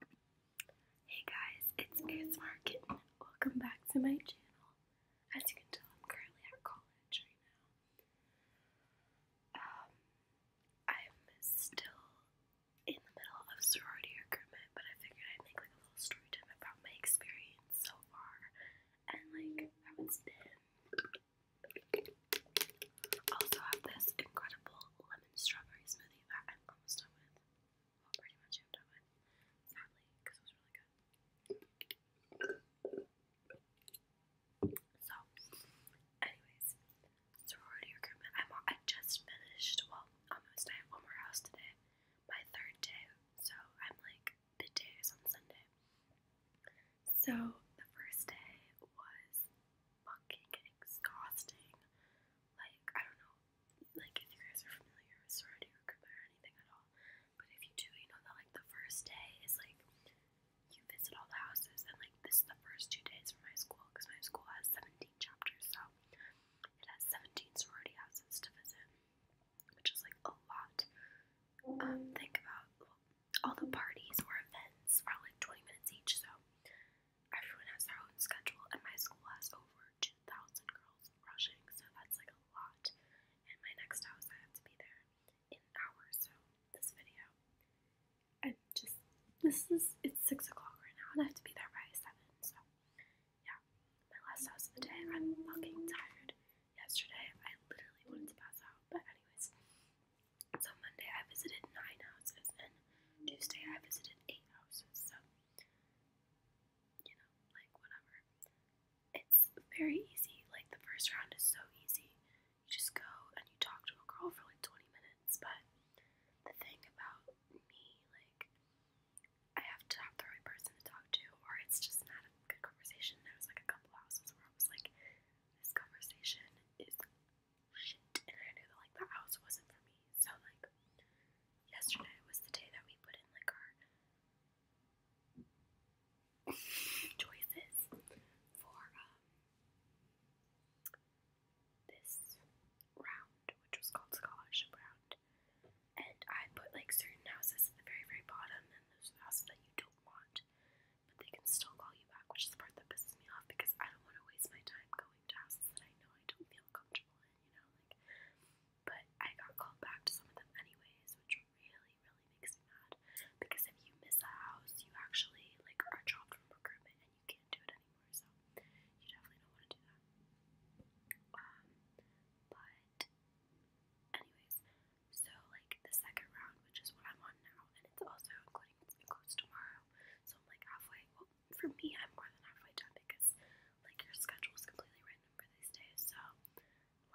Hey guys, it's ASMR Kitten. Welcome back to my channel. As you can tell, I'm currently at college right now. Um, I'm still in the middle of sorority recruitment, but I figured I'd make like a little story time about my experience so far and like how it's been. Also have this incredible lemon strawberry smoothie that I'm almost done with. Well, pretty much I'm done with. Sadly, because it was really good. So, anyways, sorority recruitment. I'm, I just finished, well, almost. I have one more house today. My third day. So, I'm like, the day on Sunday. So, the first day was fucking exhausting. Like, I don't know, like if you guys are familiar with sorority recruitment or anything at all, but if you do, you know that like the first day is like you visit all the houses, and like this is the first two days for my school because my school has 17 chapters, so it has 17 sorority houses to visit, which is like a lot. Um, think about all the parties or events are like 20 minutes each, so Everyone has their own schedule, and my school has over 2,000 girls rushing, so that's like a lot. And my next house, I have to be there in an so this video. i just, this is, it's 6 o'clock right now, and I have to be there by 7, so yeah. My last house of the day, I'm fucking tired. Yesterday, I literally wanted to pass out, but anyways, so Monday I visited nine houses, and Tuesday I visited eight houses. So you know, like whatever. It's very easy. Like the first round is so easy. You just go and you talk to a girl for like twenty minutes. But the thing about me, like, I have to have the right person to talk to, or it's just not a good conversation. There was like a couple houses where I was like, this conversation is shit. And I knew that like that house wasn't for me. So like yesterday was the day that we put in like our choices for um this round, which was called scholarship round. And I put like certain houses at the very, very bottom and those houses that you don't want but they can still call you back, which is the part that pisses me off because I don't want to waste my time going to houses that I know I don't feel comfortable in, you know, like, but I got called back to some of them anyways, which really, really makes me mad, because if you miss a house, you actually, like, are dropped from recruitment and you can't do it anymore, so you definitely don't want to do that, um, but, anyways, so like the second round, which is what I'm on now, and it's also including includes tomorrow. So I'm like halfway. Well, for me, I'm more than halfway done because like your schedule is completely random for these days. So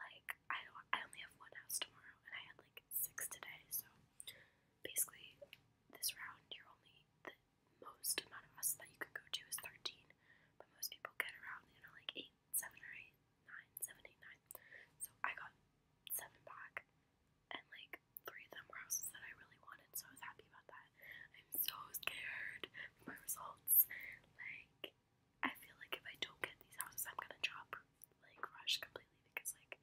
like I don't, I only have one house tomorrow, and I had like six today. So basically, this round you're only the most amount of us that you can go to is thirteen, but most people get around you know like eight, seven or eight, nine, seven, eight, nine. So I got seven back, and like three of them were houses that I really wanted, so I was happy about that. I'm so scared for my results. Like, I feel like if I don't get these houses, I'm gonna drop like Rush completely because like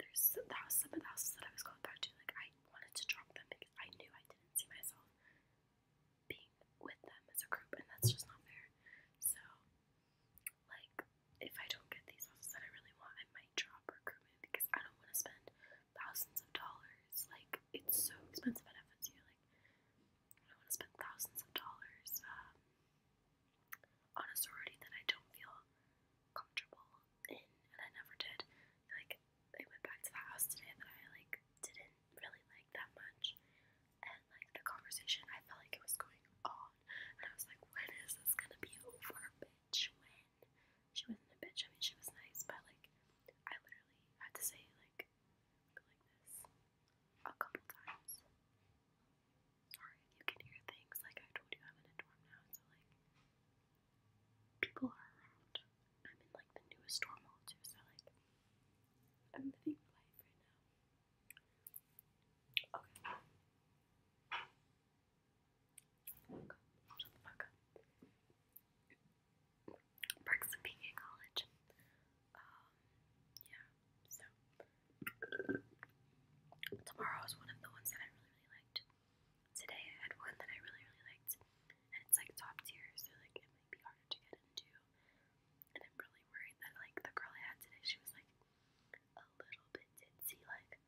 there's some, the some of the houses that I was going back to, like I wanted to drop them because I knew I didn't see myself being with them as a group, and that's just not fair. So like if I don't get these houses that I really want, I might drop recruitment because I don't want to spend thousands of dollars. Like it's so expensive at FSU. Like I don't want to spend thousands of dollars um, on a sorority that I don't feel comfortable in, and I never did. Like I went back to the house today that I like didn't really like that much, and like the conversation, I felt like it was going on, and I was like, when is this gonna be over, bitch? When? She wasn't a bitch. I mean, she was nice, but like, I literally had to say like, like this a couple times. Sorry, you can hear things. Like I told you, I'm in a dorm now, so like, people are around. I'm in like the newest dorm hall too, so like, I'm living life right now. Okay. Shut the fuck up. Brooks and PK College. Um, yeah, so. Tomorrow is one of the ones that I really, really liked. Today I had one that I really, really liked. And it's like top tier, so like it might be harder to get into and I'm really worried that like the girl I had today, she was like a little bit ditzy. Like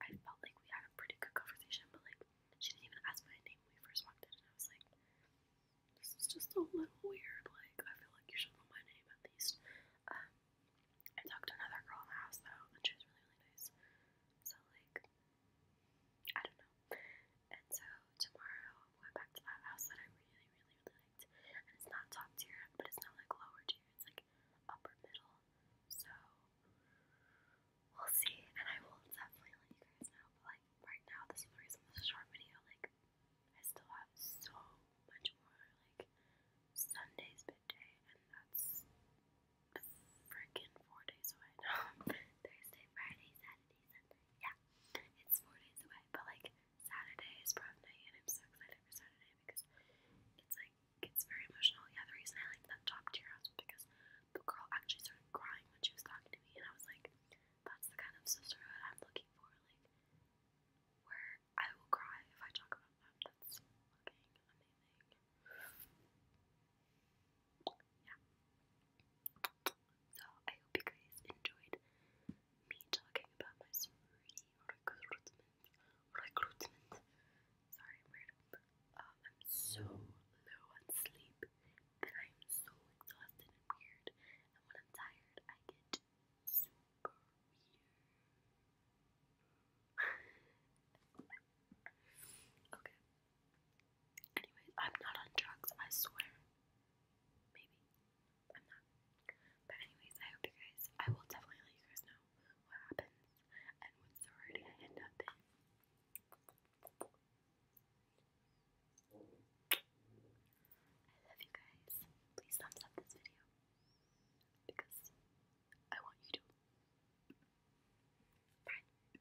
I felt like we had a pretty good conversation, but like she didn't even ask my name when we first walked in, and I was like, this is just a little weird. Like I feel like you should know my name at least. Um, I talked to another girl in the house though, and she was really really nice. So like I don't know. And so tomorrow I'm back to that house that I really, really, really liked. And it's not top tier, but it's not like lower tier, it's like upper middle. So we'll see. And I will definitely let you guys know. But like right now, this is the reason this is a short video. Like I still have so much more. Like Sunday's big day, and that's freaking four days away now. Thursday, Friday, Saturday. Yeah, it's four days away, but like Saturday is prom night, and I'm so excited for Saturday because it's like it's very emotional. Yeah, the reason I like that top tier house because the girl actually started crying when she was talking to me, and I was like, that's the kind of sisterhood I'm looking for. Like, where I will cry if I talk about them. That's fucking amazing yeah. So I hope you guys enjoyed me talking about my sorority recruitment. Recruitment. Sorry, I'm weird. Uh, I'm so low on sleep that I'm so exhausted and weird. And when I'm tired, I get super weird. okay. Anyways, I'm not on drugs, I swear. Maybe. I'm not. But anyways, I hope you guys, I will definitely let you guys know what happens and what sorority I end up in. I love you guys. Please thumbs up this video. Because I want you to. Bye.